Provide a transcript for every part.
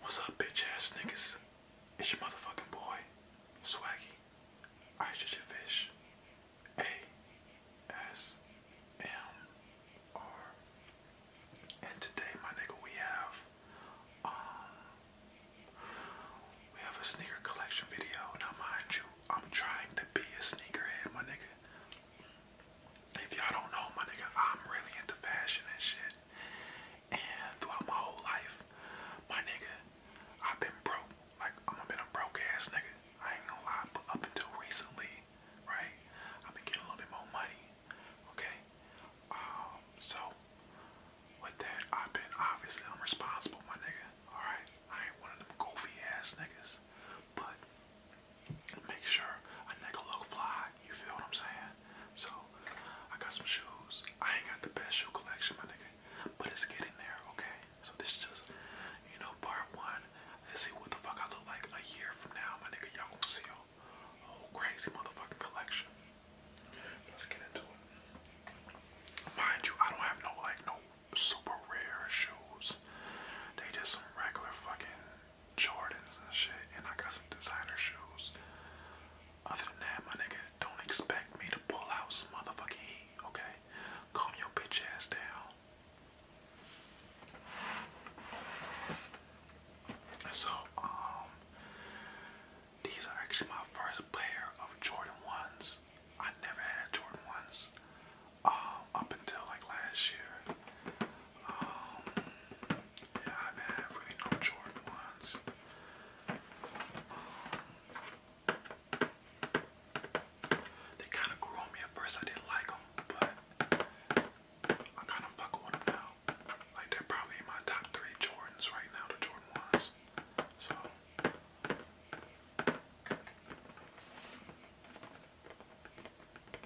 What's up, bitch ass niggas? It's your motherfucking boy, Swaggy. I just your fish. A S M R. And today, my nigga, we have um we have a sneaker collection video. Now, mind you, I'm trying to be a sneakerhead, my nigga. If y'all don't know, my nigga, I'm really into fashion and shit. And throughout my whole life, my nigga, I've been broke. Like I'm a been a broke ass nigga. I ain't gonna lie, but up until recently, right? i been getting a little bit more money. Okay. Um, so with that, I've been obviously I'm responsible, my nigga. Alright. I ain't one of them goofy ass niggas. But make sure a nigga low fly you feel what I'm saying? So I got some shoes. I ain't got the best shoe collection, my nigga, but it's getting there, okay? So this is just, you know, part one. Let's see what the fuck I look like a year from now, my nigga. Y'all gonna see a whole crazy motherfucking collection. Let's get into it. Mind you, I don't have no like no super rare shoes. They just some regular fucking Jordans and shit, and I got some designer shoes. Other than that, my nigga, don't expect me to pull out some motherfucking heat, okay? Calm your bitch ass down. So, um, these are actually my first pair of Jordan 1s. I never had Jordan 1s um, up until like last year yeah, I mean, I have Jordan ones. they kind of grew on me at first. I didn't like them, but I kind of fuck with them now. Like they're probably in my top three Jordans right now, the Jordan ones. So.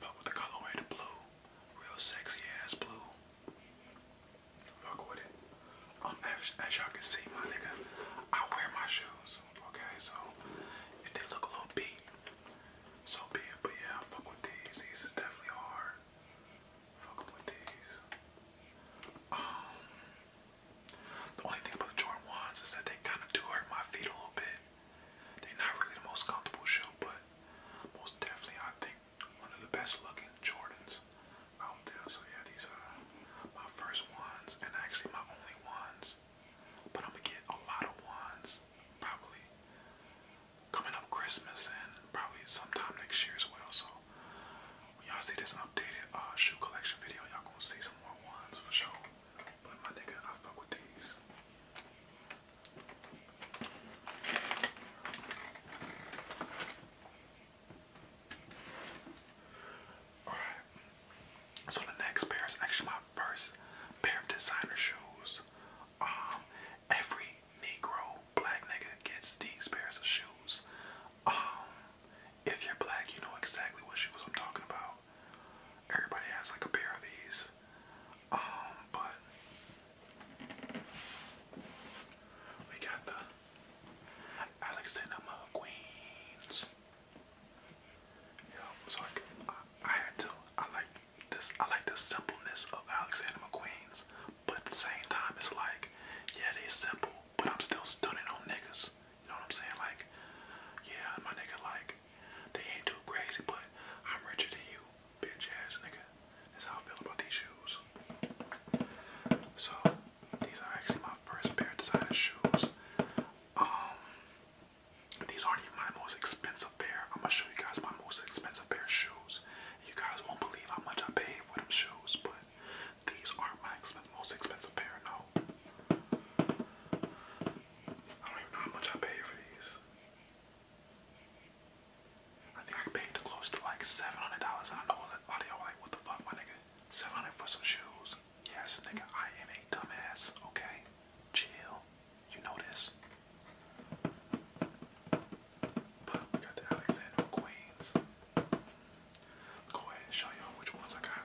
Fuck with the colorway, the blue. Real sexy ass blue. Fuck with it. Um, as, y'all can see, my nigga, I wear my shoes. Okay, so it did look a little beat. So be it, but yeah, I fuck with these. These is definitely hard. Fuck with these. Um, the only thing about the Jordan 1s is that they kind of do hurt my feet a little bit. They're not really the most comfortable shoe, but most definitely I think one of the best looking Jordans out there. So yeah, these are my first ones and actually my only ones. But I'm gonna get a lot of ones probably coming up Christmas and probably sometime next year as well. So when y'all see this updated uh, shoe collection video, y'all gonna see some more ones for sure. But my nigga, I fuck with these. Alright. So the next pair is actually my first pair of designer shoes. Um every Negro black nigga gets these pairs of shoes. Um if you're black you know exactly what shoes I'm talking about. Everybody has like a pair of these. Um, but we got the Alexander McQueen's. Yeah, so I, had to. I like this. I like the simplicity of Alexander McQueen's, but at the same time, it's like, yeah, they are simple, but I'm still stunning on niggas. You know what I'm saying? Like, yeah, my nigga, like, they ain't too crazy, but I'm richer than you, bitch ass nigga. That's how I feel about these shoes. So, these are actually my first pair of designer shoes. Um, these aren't even my most expensive pair. I'm gonna show you guys my most expensive pair of shoes. You guys won't believe how much I paid for them shoes, but these aren't my most expensive pair, no. I don't even know how much I pay for these. I think I paid close to like seven hundred dollars, and I know a like, "What the fuck, my nigga? Seven hundred for some shoes?" Yes, nigga, I am a dumbass. Okay, chill. You know this. we got the Alexander McQueen's. Go ahead and show y'all which ones I got.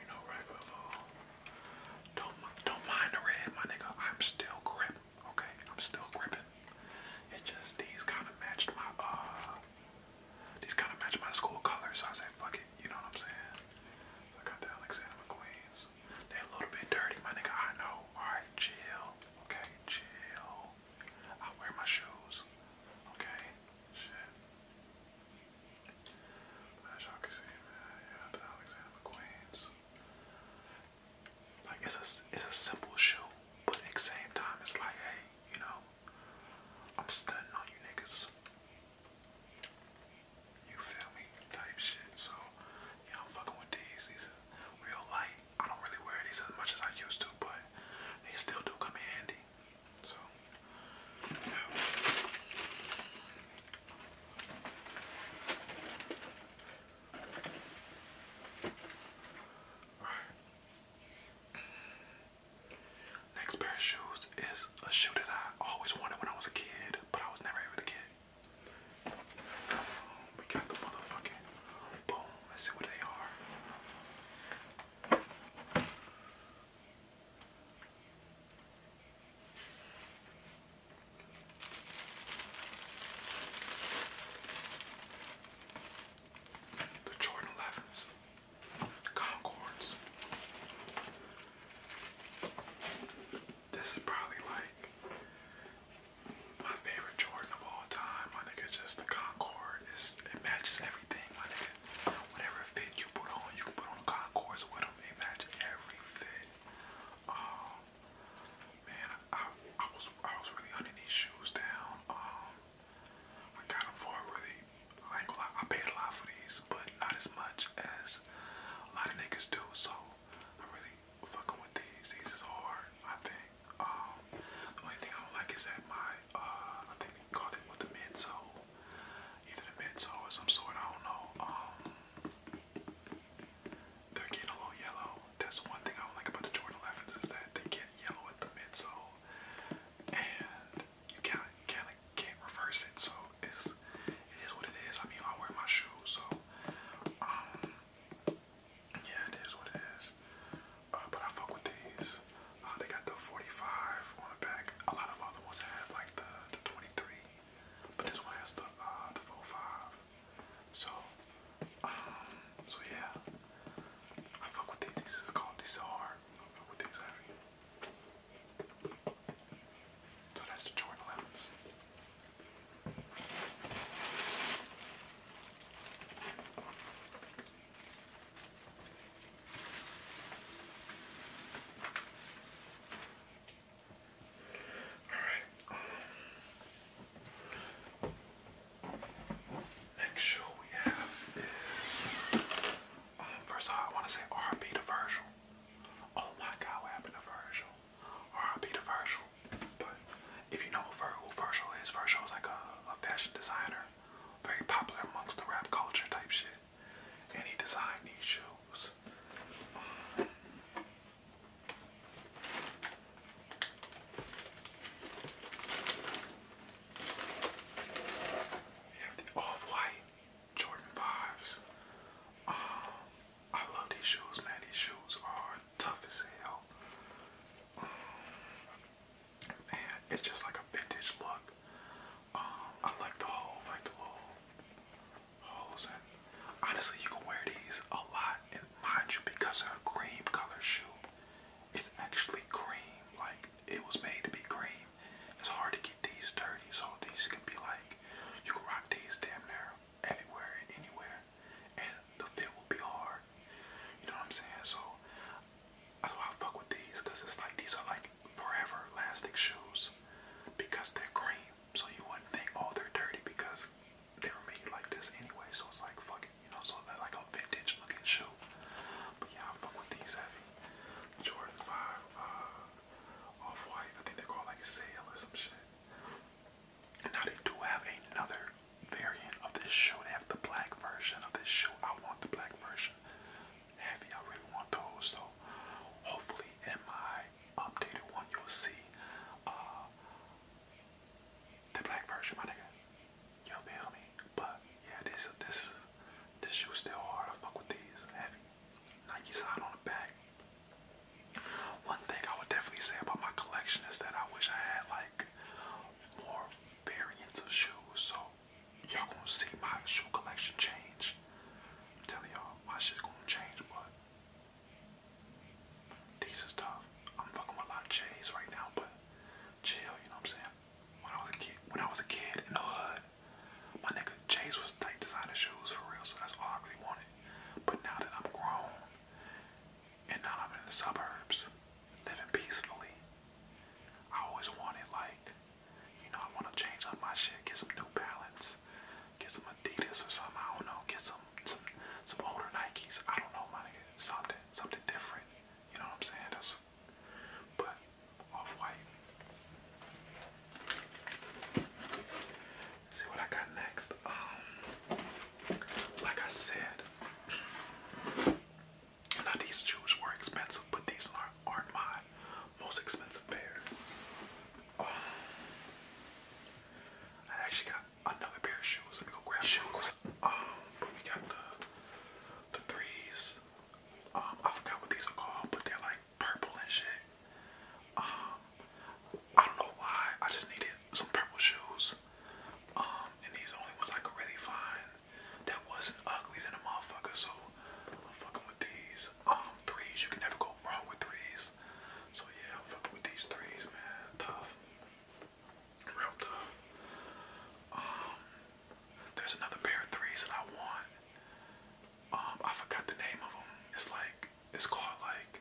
You know, regular law. Don't don't mind the red, my nigga. I'm still grip. Okay, I'm still gripping. It just these kind of matched my uh, these kind of matched my school colors. So I said, fuck it. You know what I'm saying? I got the Alexander McQueen's. They're a little bit dirty, my nigga. I know. All right, chill. Okay, chill. I wear my shoes. Okay, shit. Like it's a it's a simple show, but at the same time, it's like, hey, you know, I'm stunting on you niggas. You feel me? Type shit. So yeah, I'm fucking with these. These are real light. I don't really wear these as much as I used to, but they still do come in handy. So, Next pair of shoes is a shoe that I always wanted when I was a kid, but I was never able to get. Um, we got the motherfucking boom. Let's see what they are. The Jordan 11s, Concords. This is probably like my favorite Jordan of all time. My nigga, just the Concord. It's, it matches everything everything, my nigga. Whatever fit you put on, you can put on concourse with them. every fit. Um, man, I, was I was really hunting these shoes down. Um, I got for really. I ain't gonna lie, I paid a lot for these, but not as much as a lot of niggas do. So I'm really fucking with these. These is hard, I think. Um, the only thing I don't like is that my uh, I think they called it with the midsole, either the midsole or some sort. I don't know. Um, they're a little yellow. That's one thing I don't like about the Jordan 11s is that they get yellow at the midsole, and you kind of kind of can't reverse it. So it's it is what it is. I mean, I wear my shoes, so um, yeah, it is what it is. Uh, but I fuck with these. Uh, they got the 45 on the back. A lot of other ones have like the, the 23, but this one has the uh, the 45. So, um, so yeah, I fuck with these. This is called these hard. I fuck with these heavy. So that's the Jordan 11s. Alright. Um, next we have is um, first of I wanna say RP to Oh my god, what happened to Virgil? RP to But if you know who Virgil is, Virgil is like a, a fashion designer, very popular amongst the rap culture type shit and he designed these shoes. we have the off-white Jordan 5s. Um, I love these shoes, man. These shoes are tough as hell. Um, it's just like a vintage look. Um, I like the whole like the little holes honestly you can wear these a lot and mind you because they're a cream color shoe. It's actually cream, like it was made to be cream. It's hard to get these dirty, so these can be like you can rock these damn near anywhere anywhere and the fit will be hard. You know what I'm saying? So that's why I fuck with these, cause it's like these are like forever elastic shoes because they're cream. So you wouldn't think oh they're dirty because they were made like this anyway. So it's like fucking you know, so they're like a vintage looking shoe. But yeah, I fuck with these heavy. Jordan 5, uh, off white. I think they're like sale or some shit. And now they do have another variant of this shoe. They have the black version of this shoe. I want the black version heavy. I really want those. So hopefully in my updated one you'll see uh, the black version, my nigga. You feel me? But yeah, this this this shoe's still hard. I fuck with these heavy. Nike side on the back. One thing I would definitely say about my collection is that I wish I had like more variants of shoes. So y'all gonna see my shoe collection change. I'm telling y'all, my shit's gonna change, but this is tough. I'm fucking with a lot of J's right now, but chill, you know what I'm saying? When I was a kid, when I was a kid in the hood, my nigga J's was tight designer shoes for real, so that's all I really wanted. But now that I'm grown and now I'm in the suburbs, living peacefully, I always wanted like you know, I want to change up my shit, get some New Balance, get some Adidas or something. I don't know, get some some older Nikes. I don't know, my Something something different. You know what I'm saying? but off white. See what I got next. Um, like I said, now these shoes were expensive, but these aren't aren't mine most expensive pair. Oh. I actually got another pair of shoes. Let me go grab shoes. but um, we got the the threes. Um, I forgot what these are called, but they're like purple and shit. Um, I don't know why. I just needed some purple shoes. and these only ones I really find that wasn't ugly than a motherfucker. So I'm fucking with these um threes. You can never go wrong with threes. So yeah, I'm fucking with these threes, man. Tough, real tough. Um, there's another pair of threes that I want. Um, I forgot the name of them. It's like it's called like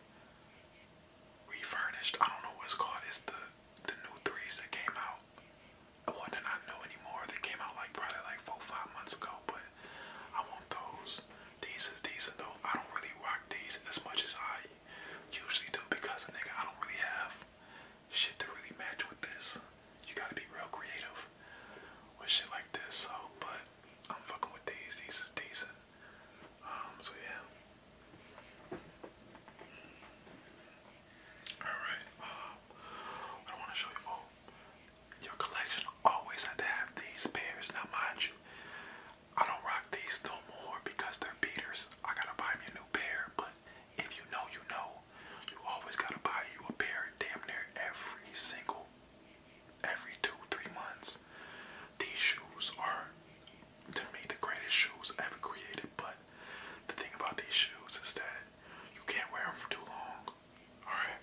refurnished. I don't know what it's called. It's the the new threes that came out one that I know anymore that came out like probably like four five months ago, but I want those. These is decent though. I don't really rock these as much as I usually do because nigga I don't really have shit to really match with this. You gotta be real creative with shit like this, so but I'm fucking with these, these is decent. Um so yeah. Alright, um, I want to show you. Oh, your collection always had to have these pairs. Now, mind you, I don't rock these no more because they're beaters. I gotta buy me a new pair, but if you know, you know. You always gotta buy you a pair damn near every single, every two, three months. These shoes are, to me, the greatest shoes ever created, but the thing about these shoes is that you can't wear them for too long. Alright.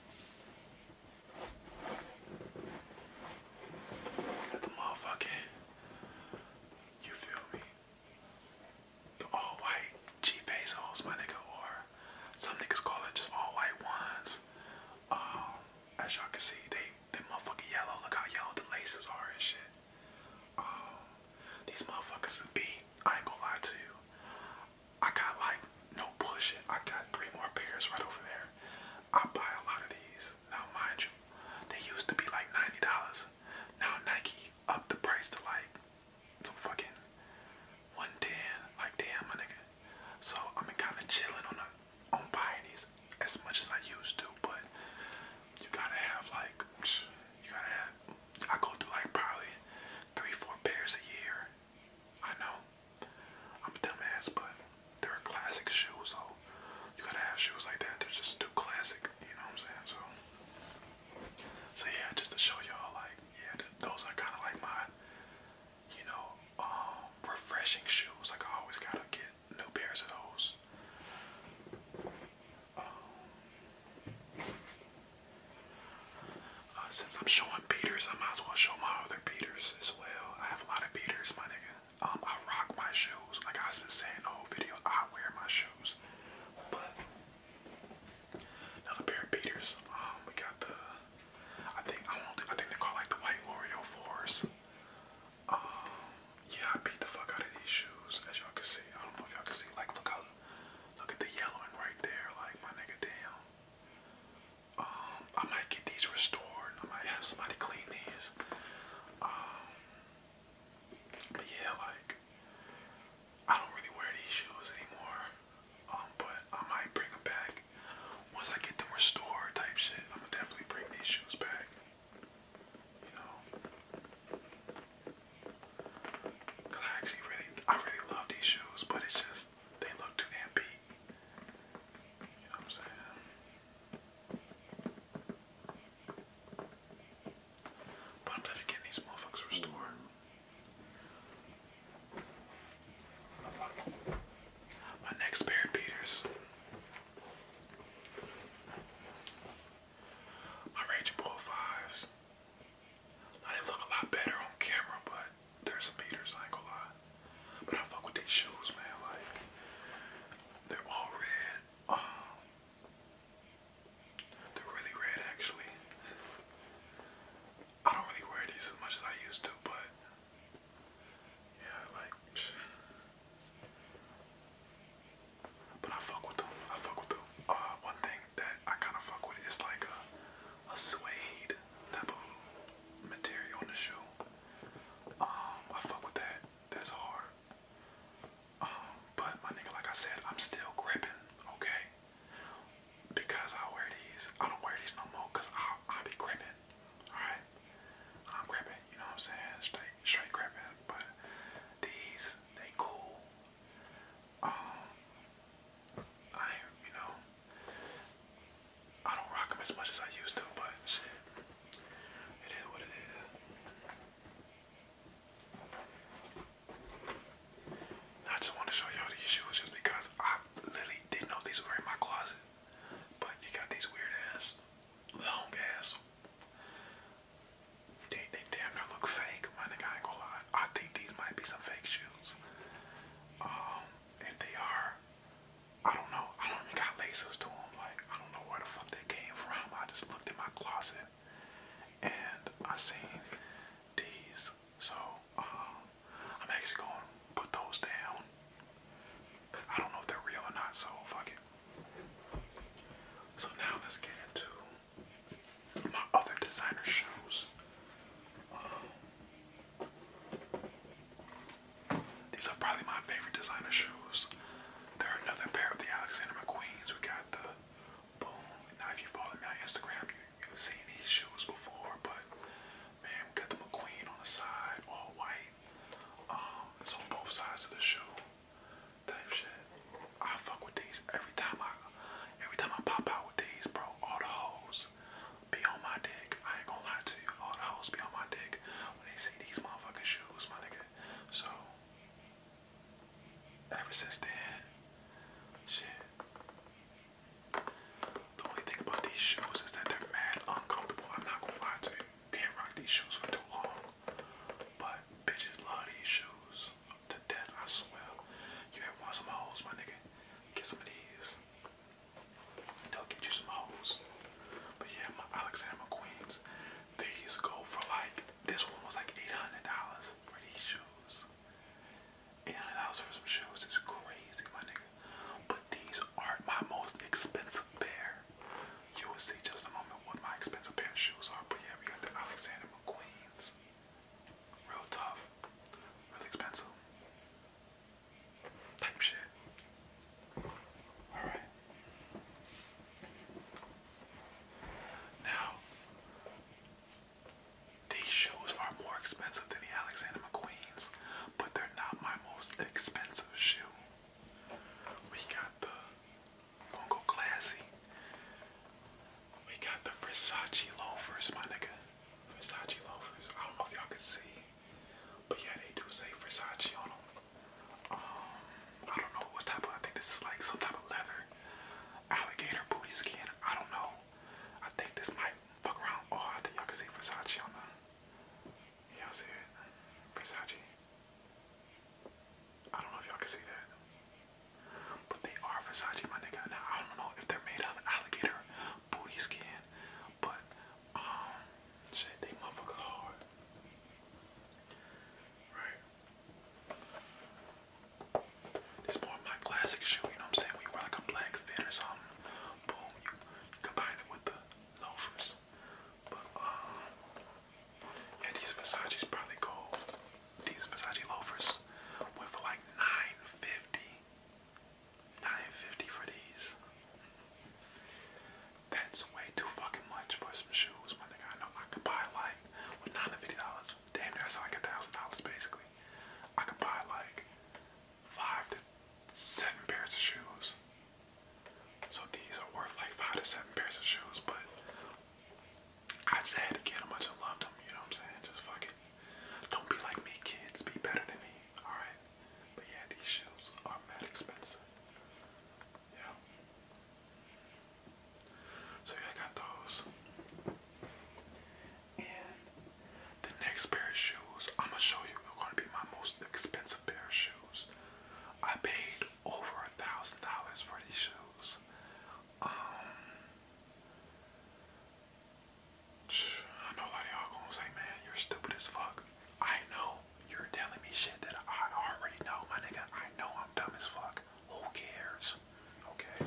the motherfucking, you feel me? The all white G face my nigga, or some niggas call it just all white ones. Um, as y'all can see, they they motherfucking yellow. Look how yellow the laces are and shit. Um, these motherfuckers is beat. I ain't gonna lie to you. I got like no pushing. I got three more pairs right over there. I buy a lot of these. Now mind you, they used to be like $90. Now Nike upped the price to like some fucking 110. Like damn my nigga. So I'm kinda chilling on the on buying these as much as I used to, but you gotta have like you gotta have I go through like probably three, four pairs a year. I know. I'm a dumbass, but they're a classic shoe, so you gotta have shoes like that. They're just too classic, you know what I'm saying? So, so yeah, just to show y'all, like, yeah, those are kind of like my, you know, um, refreshing shoes. Like, I always gotta get new pairs of those. Um, uh, since I'm showing beaters, I might as well show my other beaters as well. I have a lot of beaters, my nigga. Um, I rock my shoes. Like I've been saying the whole video, I wear my shoes. But another pair of beaters. Um, we got the. I think I don't. I think they call like the white L'Oreal fours. Um, yeah, I beat the fuck out of these shoes, as y'all can see. I don't know if y'all can see. Like, look how. Look at the yellowing right there. Like, my nigga, damn. Um, I might get these restored. I might have somebody clean these. Um, but yeah, like I don't really wear these shoes anymore. Um, but I might bring them back once I get them restored, type shit. I'm gonna definitely bring these shoes back. You know. Cause I actually really, I really love these shoes, but it's just they look too amped. You know what I'm saying? But I'm definitely these motherfuckers restored. My next pair of Peters. My Ranger Pro 5s. I look a lot better on camera, but there's some beaters, I ain't gonna But I fuck with these shoes, man. Like, they're all red. Um, they're really red, actually. I don't really wear these as much as I used to, but yeah, like. But I fuck with them. I fuck with them. Uh, one thing that I kind of fuck with. It's like a, a suede type of material on the shoe. Um, I fuck with that. That's hard. Um, but my nigga, like I said, I'm still gripping, okay? Because I wear these. I don't wear these no more because I, I be gripping, alright? I'm gripping, you know what I'm saying? Straight, straight gripping. But these, they cool. Um, I, you know, I don't rock them as much as I used to, but shit, it is what it is. I just want to show y'all these shoes just because I literally didn't know these were in my closet. But you got these weird ass, long ass. They, they damn near look fake, my nigga. I ain't going I think these might be some fake shoes. Um, if they are, I don't know. I don't even got laces to them. Like, I don't know where the fuck they came from. I just looked in my closet and I seen these. So, um, I'm actually going to put those down. Cause I don't know if they're real or not, so fuck it. So now let's get into my other designer shoes. Um, these are probably my favorite designer shoes. There are another pair of the Alexander McQueen's. We got the boom. Now, if you follow me on Instagram, you, have seen these shoes before, but man, got the McQueen on the side, all white. Um, it's on both sides of the shoe. Type shit. I fuck with these every time I every time I pop out with these, bro. All the hoes be on my dick. I ain't gonna lie to you. All the hoes be on my dick when they see these motherfucking shoes, my nigga. So, ever since then, shit. The only thing about these shoes is that they're mad uncomfortable. I'm not gonna lie to You can't rock these shoes for too long. But bitches love these shoes to death, I swear. You ever want some hoes, my nigga? Get some of these. They'll get you some hoes. But yeah, my Alexander Queens, these go for like, this one was like $800 for these shoes. $800 for some shoes is crazy, my nigga. But these are my most expensive pair. You will see just a moment what my expensive pair of shoes are. But yeah, we got the Alexander McQueen's. Real tough, real expensive. Type shit. Alright. Now, these shoes are more expensive than the Alexander McQueen's, but they're not my most expensive shoe. We got the, gonna go classy. We got the Versace loafers, my nigga. Versace loafers. I don't know if y'all can see, but yeah, they do say Versace on them. Um, I don't know what type of. I think this is like some type of leather, alligator booty skin. I don't know. I think this might fuck around. Oh, I think y'all can see Versace on them. Y'all see it? Versace. I don't know if y'all can see that but they are Versace, my nigga. Now I don't know if they're made out of alligator booty skin, but um, shit, they motherfuckers hard, right? It's more of my classic shoe, you know what I'm saying? When wear like a black fit or something, boom, you combine it with the loafers. But um, yeah, these Versace's probably go. These Versace loafers went for like 950 950 for these. That's way too fucking much for some shoes, my nigga. I know I could buy like with $950. Damn that's like a thousand dollars basically. I could buy like five to seven pairs of shoes. So these are worth like five to seven pairs of shoes, but I just had to get them. I just them. You know what I'm saying? Just fucking don't be like me, kids. Be better than me. Alright? But yeah, these shoes are mad expensive. Yeah. So yeah, I got those. And the next pair of shoes I'm gonna show you are gonna be my most expensive pair of shoes. I paid over a thousand dollars for these shoes. Um I know a lot of y'all gonna say, man, you're stupid as fuck. I know you're telling me shit that I already know, my nigga. I know I'm dumb as fuck. Who cares? Okay.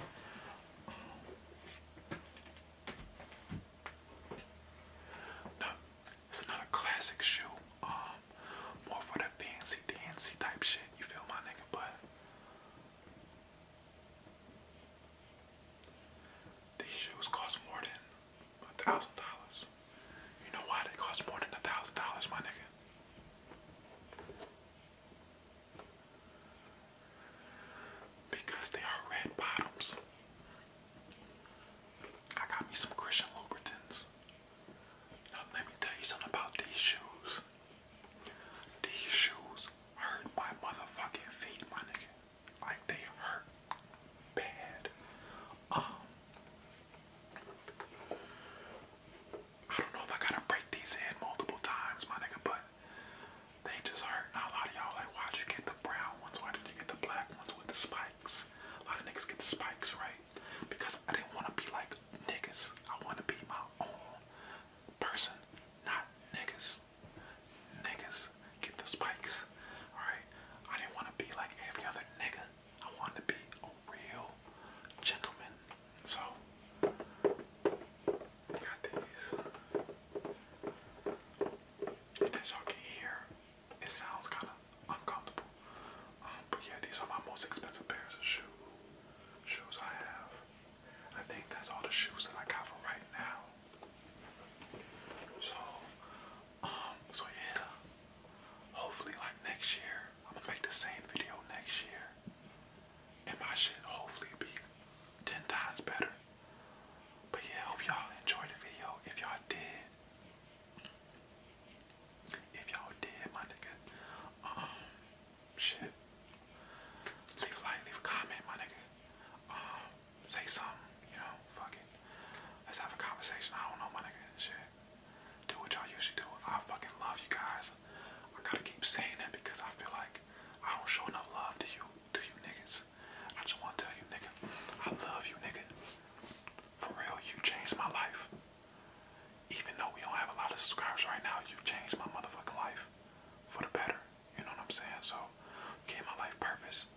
No, it's another classic shoe. Um, more for the fancy dancy type shit. You feel my nigga, but these shoes cost more than a thousand dollars. You know why they cost more than a thousand dollars, my nigga? Because they are red bottoms. I got me some Christian Louboutins. Now let me tell you something about these shoes. These shoes hurt my motherfucking feet, my nigga. Like they hurt bad. Um I don't know if I gotta break these in multiple times, my nigga, but they just hurt. Now a lot of y'all like, why'd you get the brown ones? Why did you get the black ones with the spikes? A lot of niggas get the spikes, right? Because I didn't want to be like niggas. I want to be my own person, not niggas niggas get the spikes. Alright? I didn't want to be like every other nigga. I wanted to be a real gentleman. So got these. And y'all can hear, it sounds kinda uncomfortable. Um, but yeah, these are my most expensive pairs of shoes shoes I have. I think that's all the shoes that I got for right now. So, um, so yeah. Hopefully, like next year, I'm gonna make the same video next year, and my shit hopefully be ten times better. But yeah, hope y'all enjoyed the video. If y'all did, if y'all did, my nigga, um, shit. Leave a like, leave a comment, my nigga. Um, say something, you know, fuck it. Let's have a conversation. I don't know, my nigga. Shit. Do what y'all usually do. I fucking love you guys. I gotta keep saying that because I feel like I don't show enough love to you, to you niggas. I just wanna tell you, nigga, I love you, nigga. For real, you changed my life. Even though we don't have a lot of subscribers right now, you changed my motherfucking life for the better. You know what I'm saying? So, okay, my life purpose.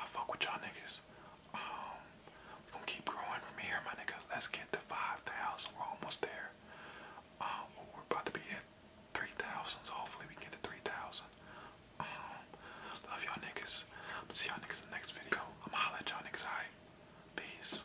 I fuck with y'all niggas. Um, we gonna keep growing from here, my nigga. Let's get to 5,000. We're almost there. Um, we're about to be at 3,000, so hopefully we get to 3,000. Um, love y'all niggas. see y'all niggas in the next video. I'm gonna holla at y'all niggas, alright? Peace.